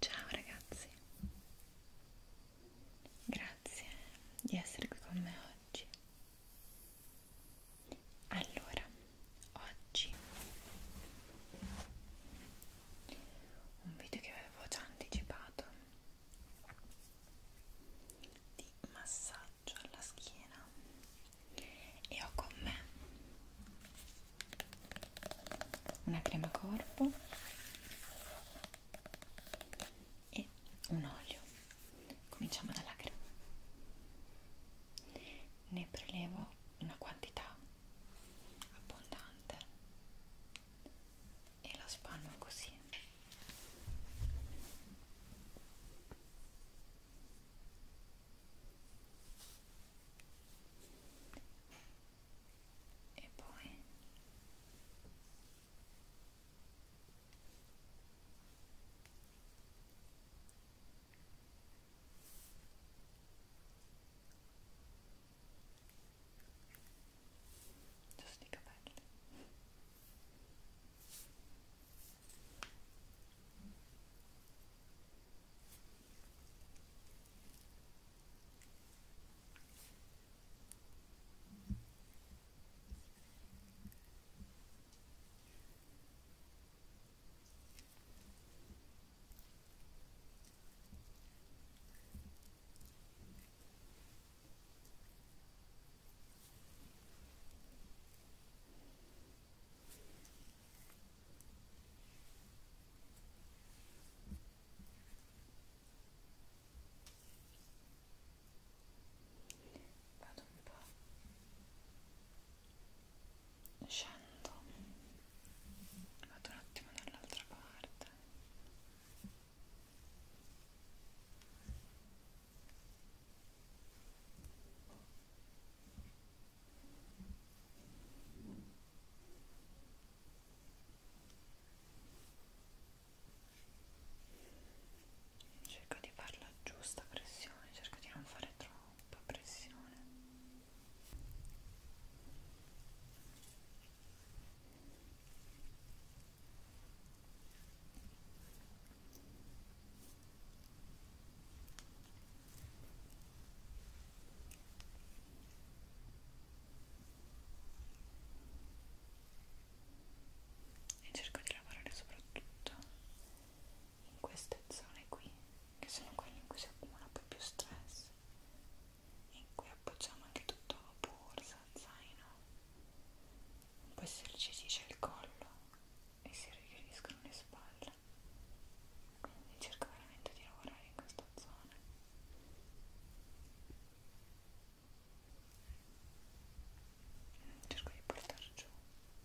Ciao ragazzi, grazie di essere qui con me oggi. Allora, oggi un video che avevo già anticipato di massaggio alla schiena e ho con me una crema corpo e un olio cominciamo dalla crema ne prelevo una quantità abbondante e la spanno così e poi Just sneak up at it. Vado un po' scendo, vado un attimo dall'altra parte. Cerco di fare la giusta pressione, cerco di non fare troppa pressione e cerco di lavorare soprattutto in queste zone qui che sono quelle in cui si accumula poi più stress in cui appoggiamo anche tutto borsa, zaino poi si irricisce il collo e si richiudono le spalle quindi cerco veramente di lavorare in questa zona cerco di portar giù e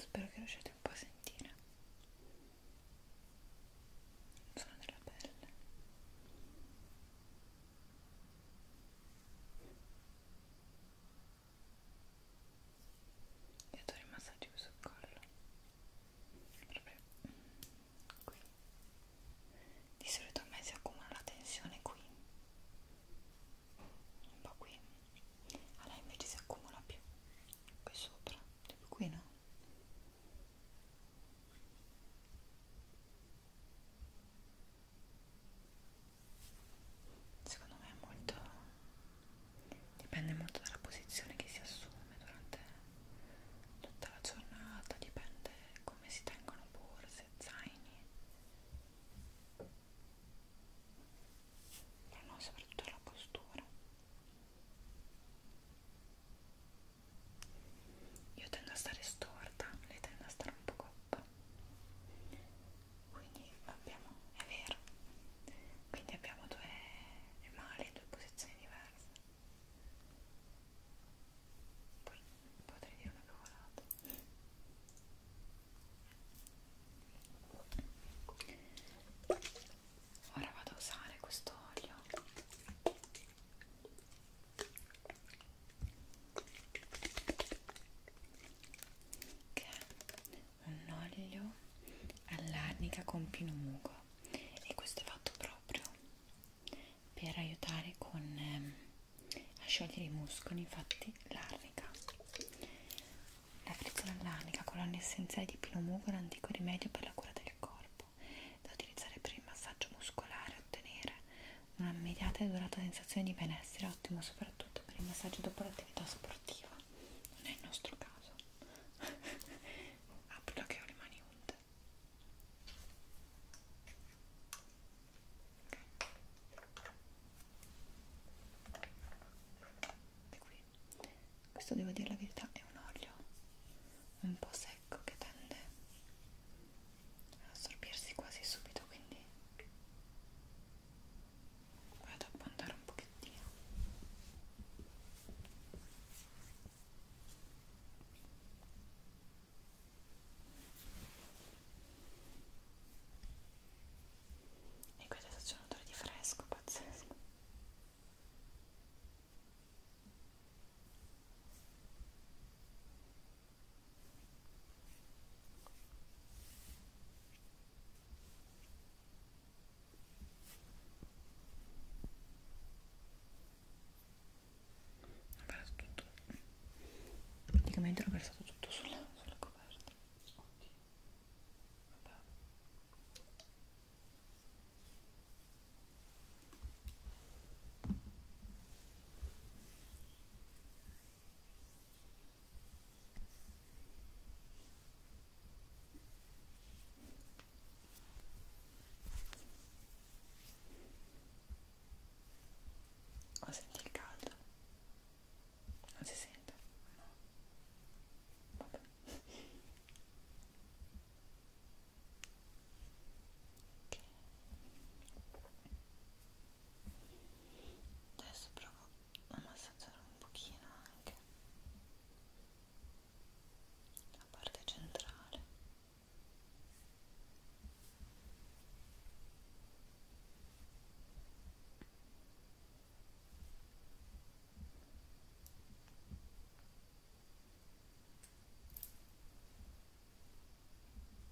Spero che riusciate un po' a sentire il suono della pelle e adoro i massaggi sul collo proprio qui di solito a me si accumula la tensione qui un po' qui a lei invece si accumula più qui sopra proprio qui no? secondo me è molto dipende molto dalla posizione che si assume durante tutta la giornata dipende come si tengono borse, zaini però no, soprattutto la postura io tendo a stare storta lei tende a stare un po' top quindi abbiamo è vero quindi abbiamo due male due posizioni diverse poi potrei dire una cavolata ora vado a usare questo olio che è un olio all'arnica con pinomugo e questo è fatto proprio per aiutare con, ehm, a sciogliere i muscoli infatti l'arnica la frizzola all'arnica colonna essenziale di pinomugo è un antico rimedio per la cura del corpo da utilizzare per il massaggio muscolare ottenere una immediata e durata sensazione di benessere, ottimo soprattutto per il massaggio dopo l'attività sportiva. Non è il nostro caso. Apro che ho le mani unte. Okay. Qui. Questo devo dire la verità è un olio un po' secco che tende assorbirsi quasi subito quindi vado a puntare un pochettino e qui adesso c'è un odore di fresco pazzesco ho perso tutto praticamente l'ho versato tutto sulla, sulla coperta Oddio. Vabbè. Oh, senti il caldo? Non si sente? No. Vabbè. Okay adesso provo a massaggiare un pochino anche la parte centrale ok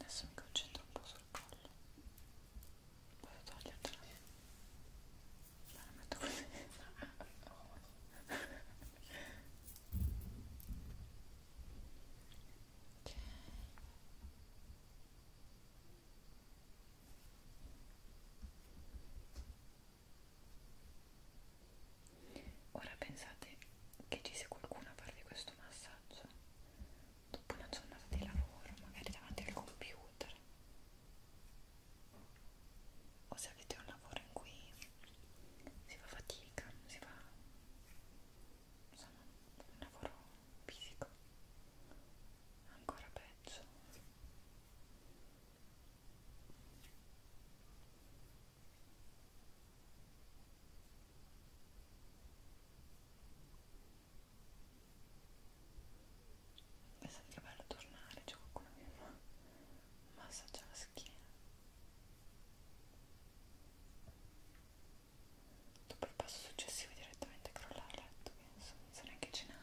Adesso mi concentro un po' sul collo. Vado a togliertela. La metto così. ok. Ora pensate che ci sia qualcuno a farvi questo massaggio dopo una giornata di lavoro, magari davanti al computer o se avete un lavoro in cui si fa fatica, si fa insomma un lavoro fisico ancora peggio pensate che bello tornare c'è qualcuno che mi fa un massaggio alla schiena dopo il passo successivo direttamente crollare a letto penso non so neanche cenare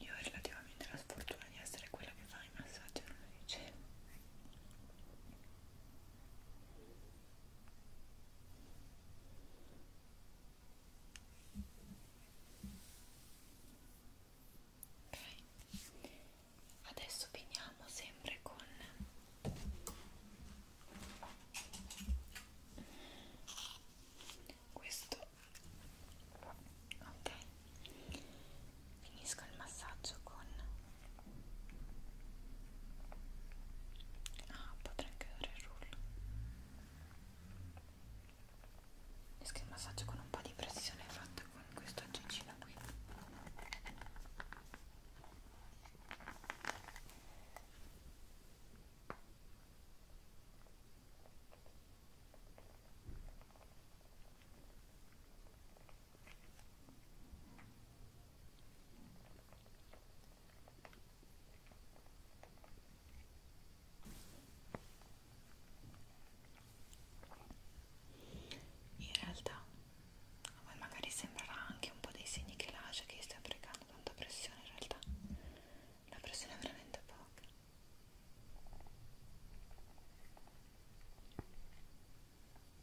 Io ho relativamente la sfortuna di essere quella che fa il massaggio alla radice ok adesso finiamo sempre con questo ok finisco il massaggio con Ah, potrei anche dare il rullo. E che il massaggio con un po' di pressione è fatto con questo aggencino qui. In realtà a voi magari sembrerà anche un po' dei segni che lascia che stia applicando tanta pressione, in realtà la pressione è veramente poca.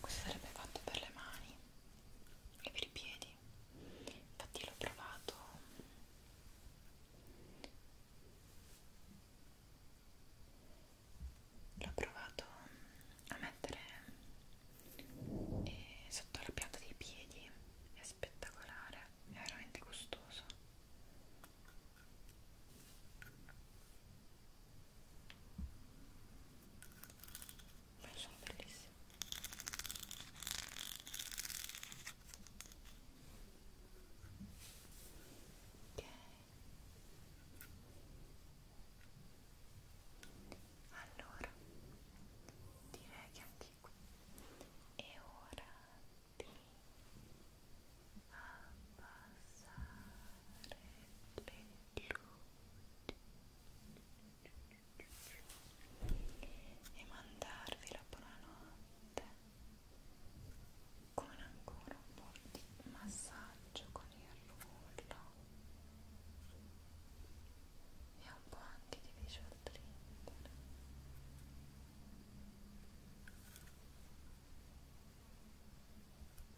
questo sarebbe fatto per le mani e per i piedi infatti l'ho provato l'ho provato a mettere eh, sotto la pianta dei piedi è spettacolare è veramente gustoso ma sono bellissime ok allora direi che anche anche qui è ora di abbassare le luci e mandarvi la buonanotte con ancora un po' di massaggio con il rullo e un po' anche di visual trigger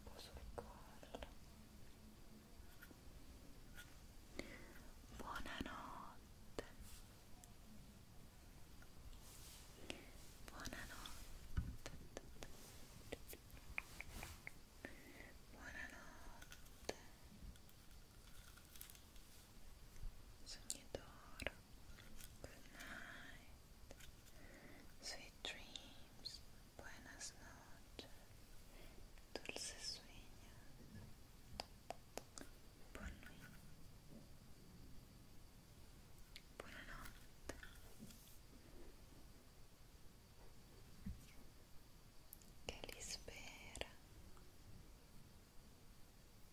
posso piccarla buonanotte buonanotte buonanotte sogni d'oro Good night. Sweet dreams. Buenas noches. Dulces sueños. Buenas noches. Che